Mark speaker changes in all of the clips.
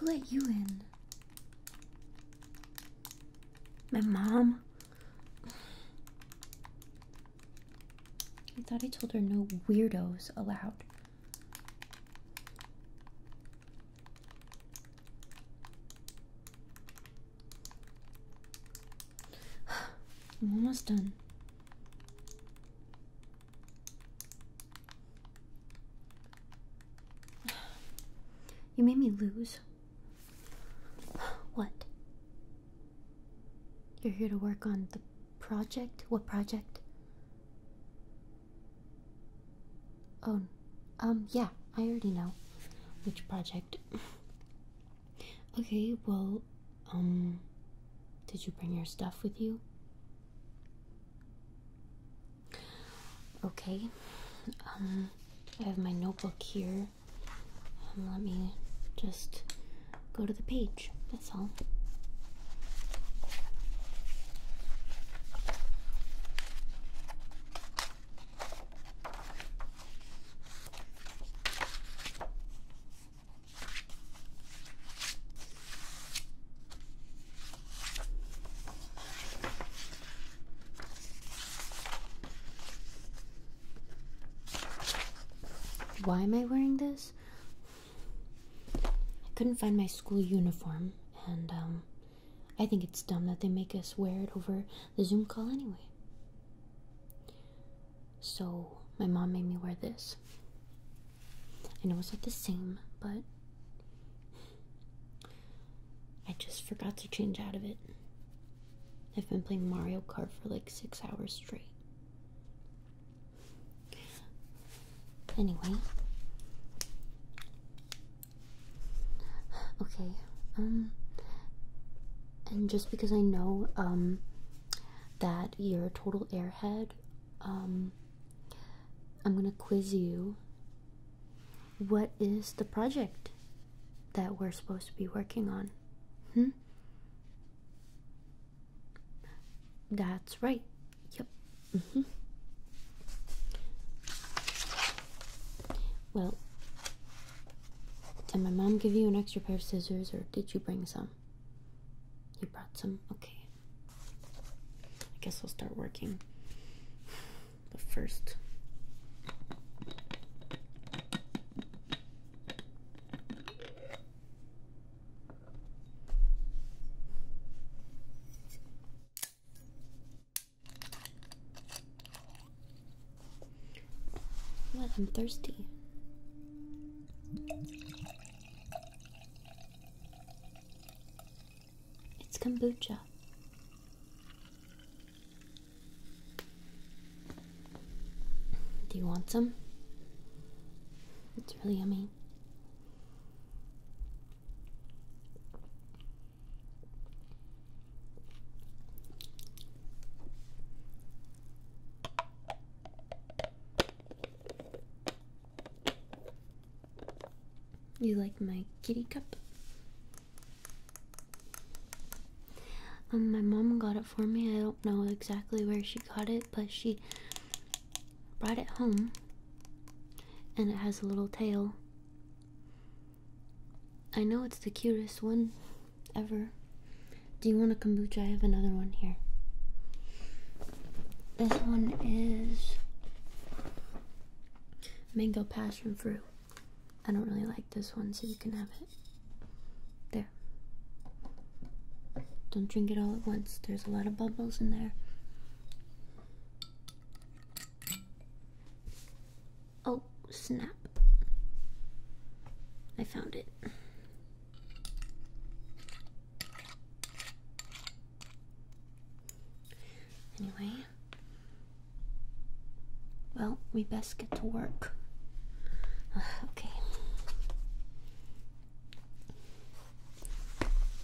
Speaker 1: Who let you in? My mom? I thought I told her no weirdos allowed. I'm almost done. You made me lose. What? You're here to work on the project? What project? Oh, um, yeah, I already know which project. okay, well, um, did you bring your stuff with you? Okay, um, I have my notebook here. Um, let me just go to the page, that's all. Why am I wearing this? I couldn't find my school uniform, and um, I think it's dumb that they make us wear it over the Zoom call anyway. So my mom made me wear this. I know it's not the same, but I just forgot to change out of it. I've been playing Mario Kart for like six hours straight. Anyway. Okay. Um and just because I know um that you're a total airhead, um I'm going to quiz you. What is the project that we're supposed to be working on? Hmm? That's right. Yep. Mm -hmm. Well, did my mom give you an extra pair of scissors or did you bring some? You brought some? Okay. I guess we will start working. But first. What? I'm thirsty. It's kombucha. Do you want some? It's really yummy. You like my kitty cup? Um, my mom got it for me. I don't know exactly where she got it, but she brought it home and it has a little tail. I know it's the cutest one ever. Do you want a kombucha? I have another one here. This one is mango passion fruit. I don't really like this one, so you can have it. There. Don't drink it all at once. There's a lot of bubbles in there. Oh, snap. I found it. Anyway. Well, we best get to work. okay.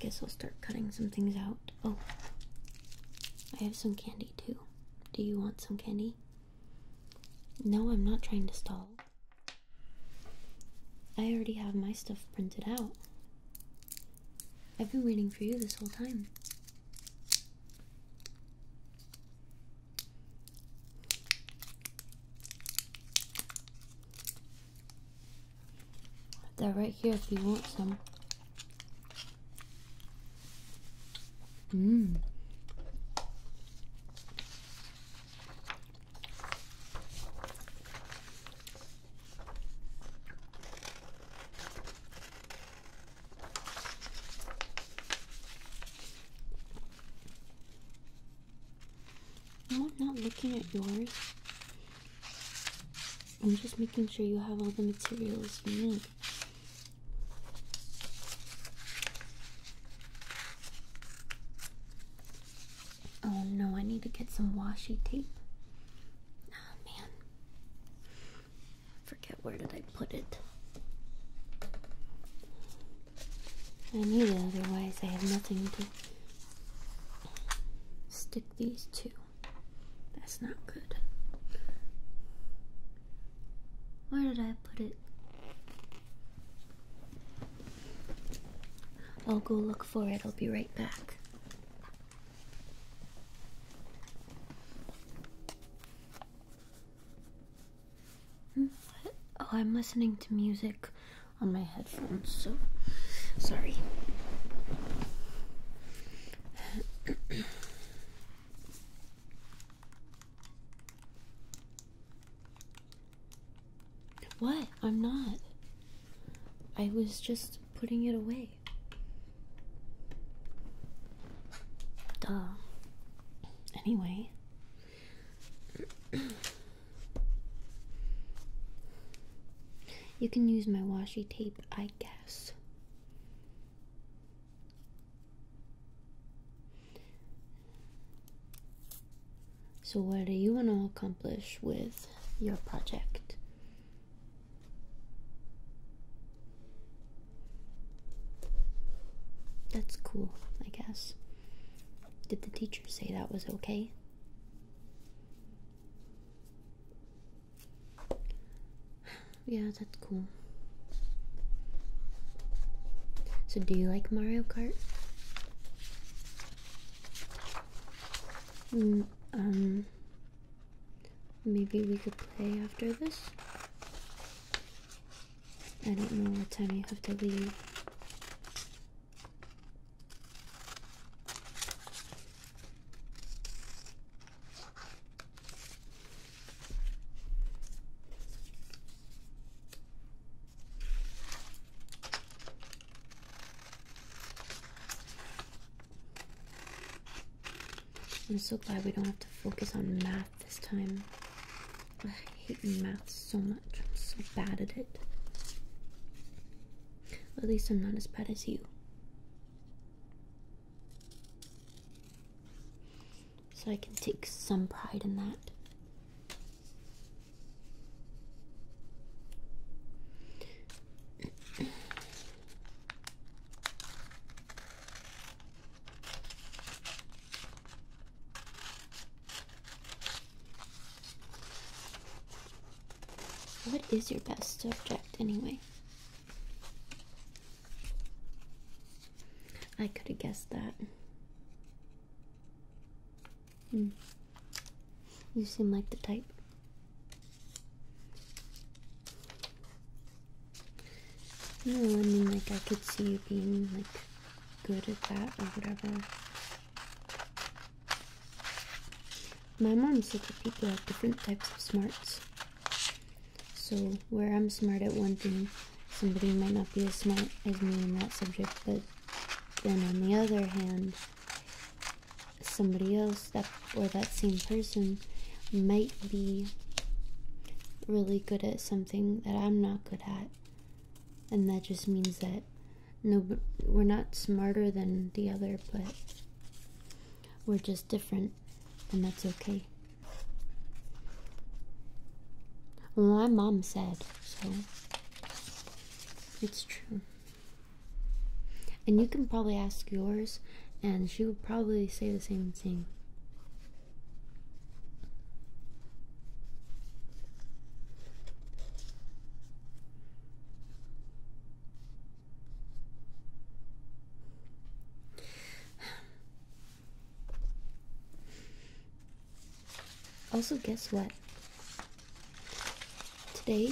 Speaker 1: Guess I'll start cutting some things out. Oh, I have some candy too. Do you want some candy? No, I'm not trying to stall. I already have my stuff printed out. I've been waiting for you this whole time. They're right here if you want some. Mmm. I'm not looking at yours. I'm just making sure you have all the materials you need. Oh no, I need to get some washi tape. Oh man. Forget where did I put it. I need it, otherwise I have nothing to Stick these two. That's not good. Where did I put it? I'll go look for it. I'll be right back. Hmm, oh, I'm listening to music on my headphones, so sorry. what? I'm not. I was just putting it away. Duh. Anyway, you can use my washi tape, I guess. So, what do you want to accomplish with your project? That's cool, I guess. Did the teacher say that was okay? yeah, that's cool. So, do you like Mario Kart? Mm, um, maybe we could play after this. I don't know what time you have to leave. I'm so glad we don't have to focus on math this time. I hate math so much. I'm so bad at it. at least I'm not as bad as you. So I can take some pride in that. What is your best subject anyway? I could have guessed that. Hmm. You seem like the type. No, I mean, like, I could see you being, like, good at that or whatever. My mom said that people have different types of smarts. So, where I'm smart at one thing, somebody might not be as smart as me in that subject, but then on the other hand, somebody else that or that same person might be really good at something that I'm not good at. And that just means that no we're not smarter than the other but we're just different and that's okay my mom said so it's true and you can probably ask yours and she would probably say the same thing also, guess what? Today,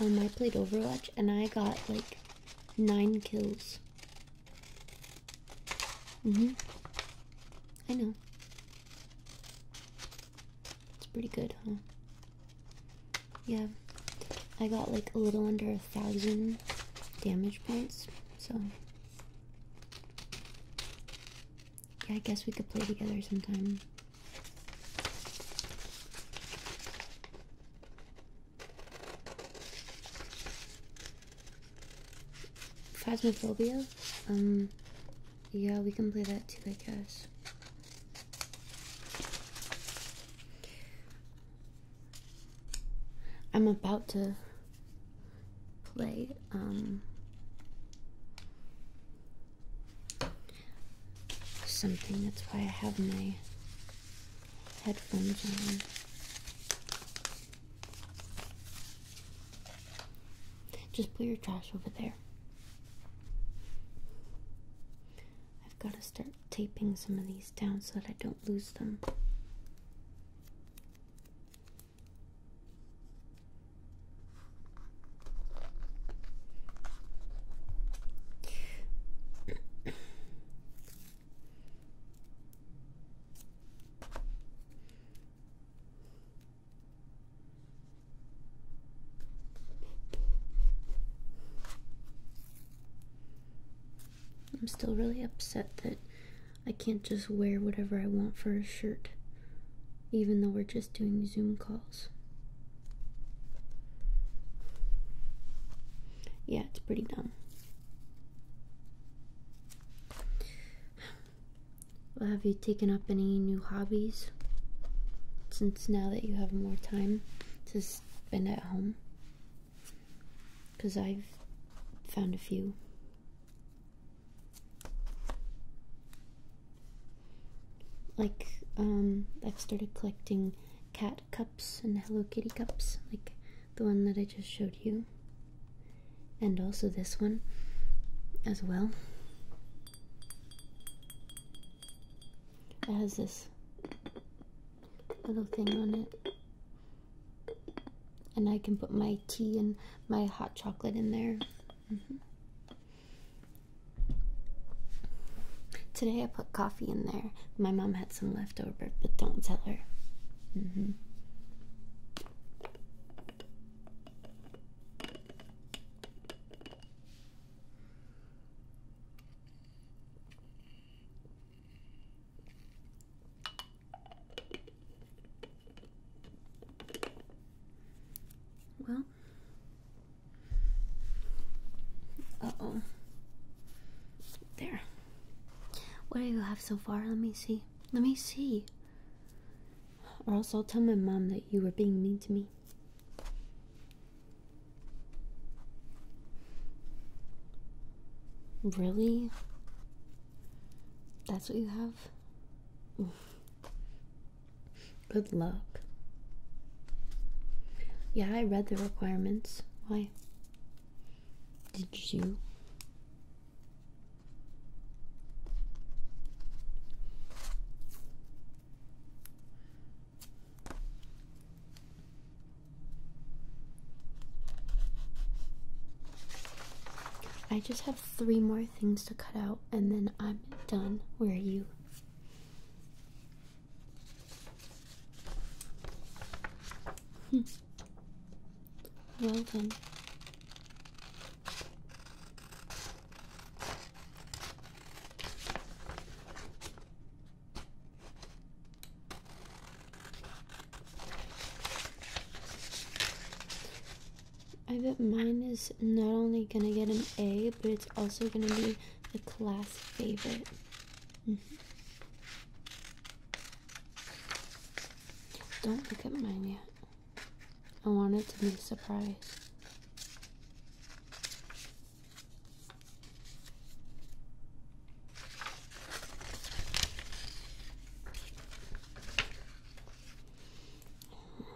Speaker 1: um, I played Overwatch and I got like nine kills. Mm-hmm. I know. It's pretty good, huh? Yeah. I got like a little under a thousand damage points, so. Yeah, I guess we could play together sometime. Phasmophobia? Um, yeah, we can play that too, I guess. I'm about to play, um, something. That's why I have my headphones on. Just put your trash over there. I've got to start taping some of these down so that I don't lose them. I'm still really upset that I can't just wear whatever I want for a shirt, even though we're just doing Zoom calls. Yeah, it's pretty dumb. Have you taken up any new hobbies since now that you have more time to spend at home? Because I've found a few. Like, um, I've started collecting cat cups and Hello Kitty cups, like the one that I just showed you and also this one as well. It has this little thing on it. And I can put my tea and my hot chocolate in there. Mm-hmm. Today I put coffee in there. My mom had some leftover, but don't tell her. Mm-hmm. Well, uh oh, there. What do you have so far? Let me see. Let me see. Or else I'll tell my mom that you were being mean to me. Really? That's what you have? Good luck. Yeah, I read the requirements. Why? Did you? I just have three more things to cut out and then I'm done. Where are you? Hmm. Well done. I bet mine is not only gonna get an A, but it's also gonna be the class favorite. Mm-hmm. Don't look at mine yet. I want it to be a surprise.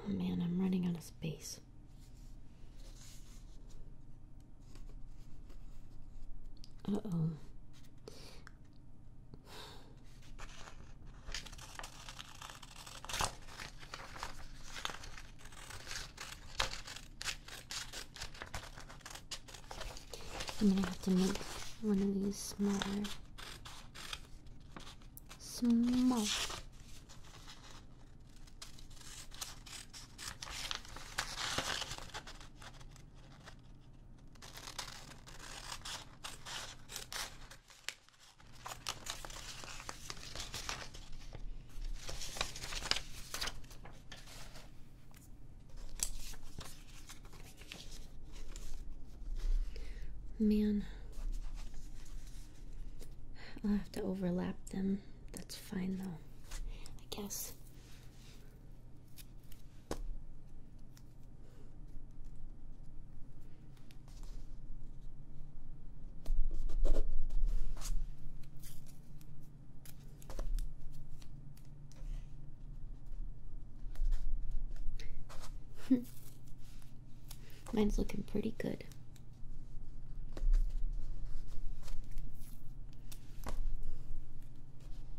Speaker 1: Oh, man, I'm running out of space. Uh oh. I'm gonna have to make one of these smaller. Small. Man, I'll have to overlap them. That's fine though, I guess. Mine's looking pretty good.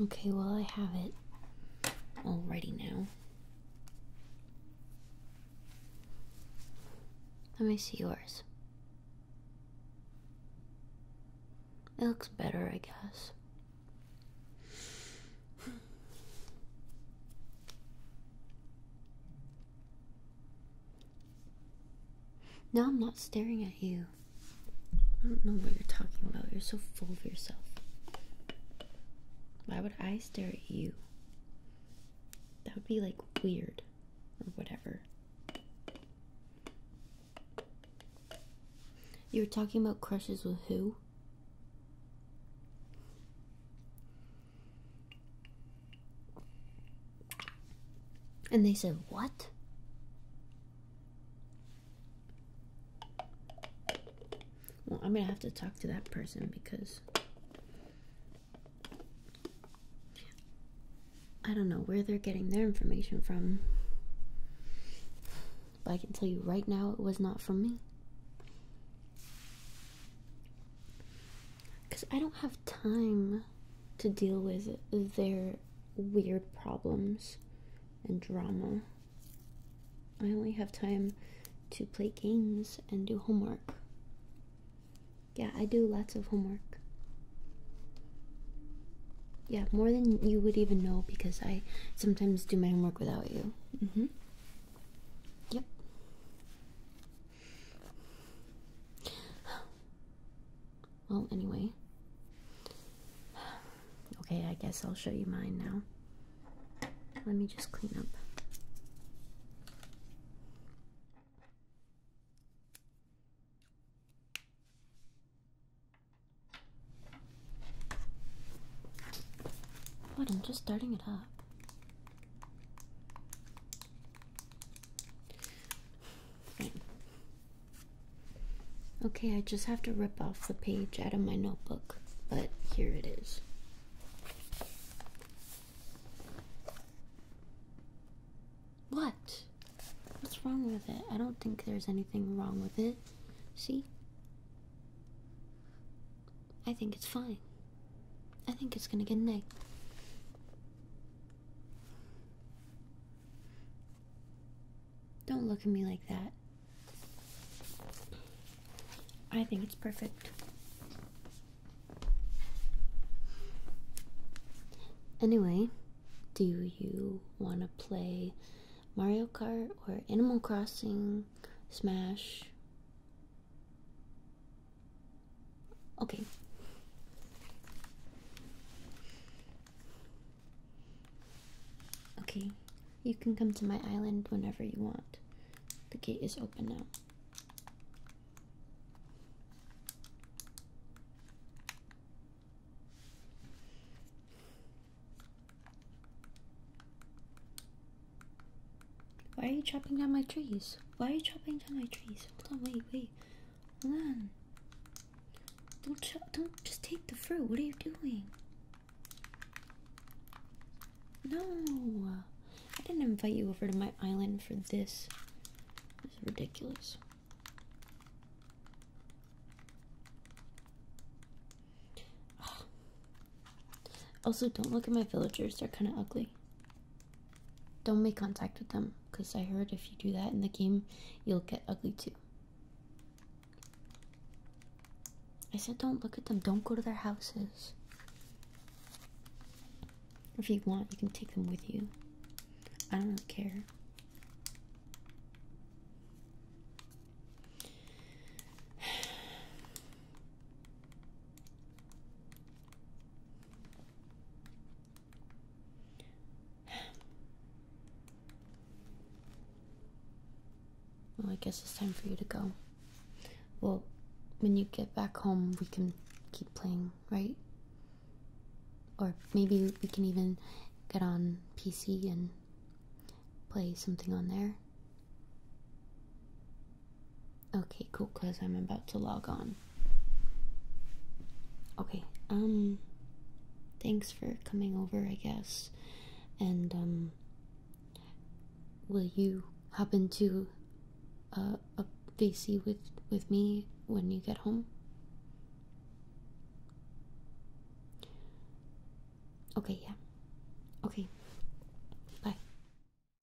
Speaker 1: Okay, well, I have it all ready now. Let me see yours. It looks better, I guess. Now I'm not staring at you. I don't know what you're talking about. You're so full of yourself. Why would I stare at you? That would be like weird or whatever. You were talking about crushes with who? And they said, What? Well, I'm gonna have to talk to that person because I don't know where they're getting their information from. But I can tell you right now, it was not from me because I don't have time to deal with their weird problems and drama. I only have time to play games and do homework. Yeah, I do lots of homework. Yeah, more than you would even know because I sometimes do my homework without you. Mm hmm. Yep. Well, anyway. Okay, I guess I'll show you mine now. Let me just clean up. What? I'm just starting it up. Okay, I just have to rip off the page out of my notebook, but here it is. What? What's wrong with it? I don't think there's anything wrong with it. See? I think it's fine. I think it's gonna get an A. Don't look at me like that. I think it's perfect. Anyway, do you want to play Mario Kart or Animal Crossing, Smash? Okay. Okay, you can come to my island whenever you want. The gate is open now. Why are you chopping down my trees? Why are you chopping down my trees? Hold on, wait, wait. Hold on. Don't ch don't just take the fruit. What are you doing? No, I didn't invite you over to my island for this. This is ridiculous. Also, don't look at my villagers. They're kind of ugly. Don't make contact with them because I heard if you do that in the game, you'll get ugly too. I said, don't look at them, don't go to their houses. If you want, you can take them with you. I don't really care. Well, I guess it's time for you to go. Well, when you get back home, we can keep playing, right? Or maybe we can even get on PC and play something on there. Okay, cool, because I'm about to log on. Okay, um, thanks for coming over, I guess. And, um, will you happen to, uh, up VC with, with me when you get home? Okay, yeah. Okay. Bye.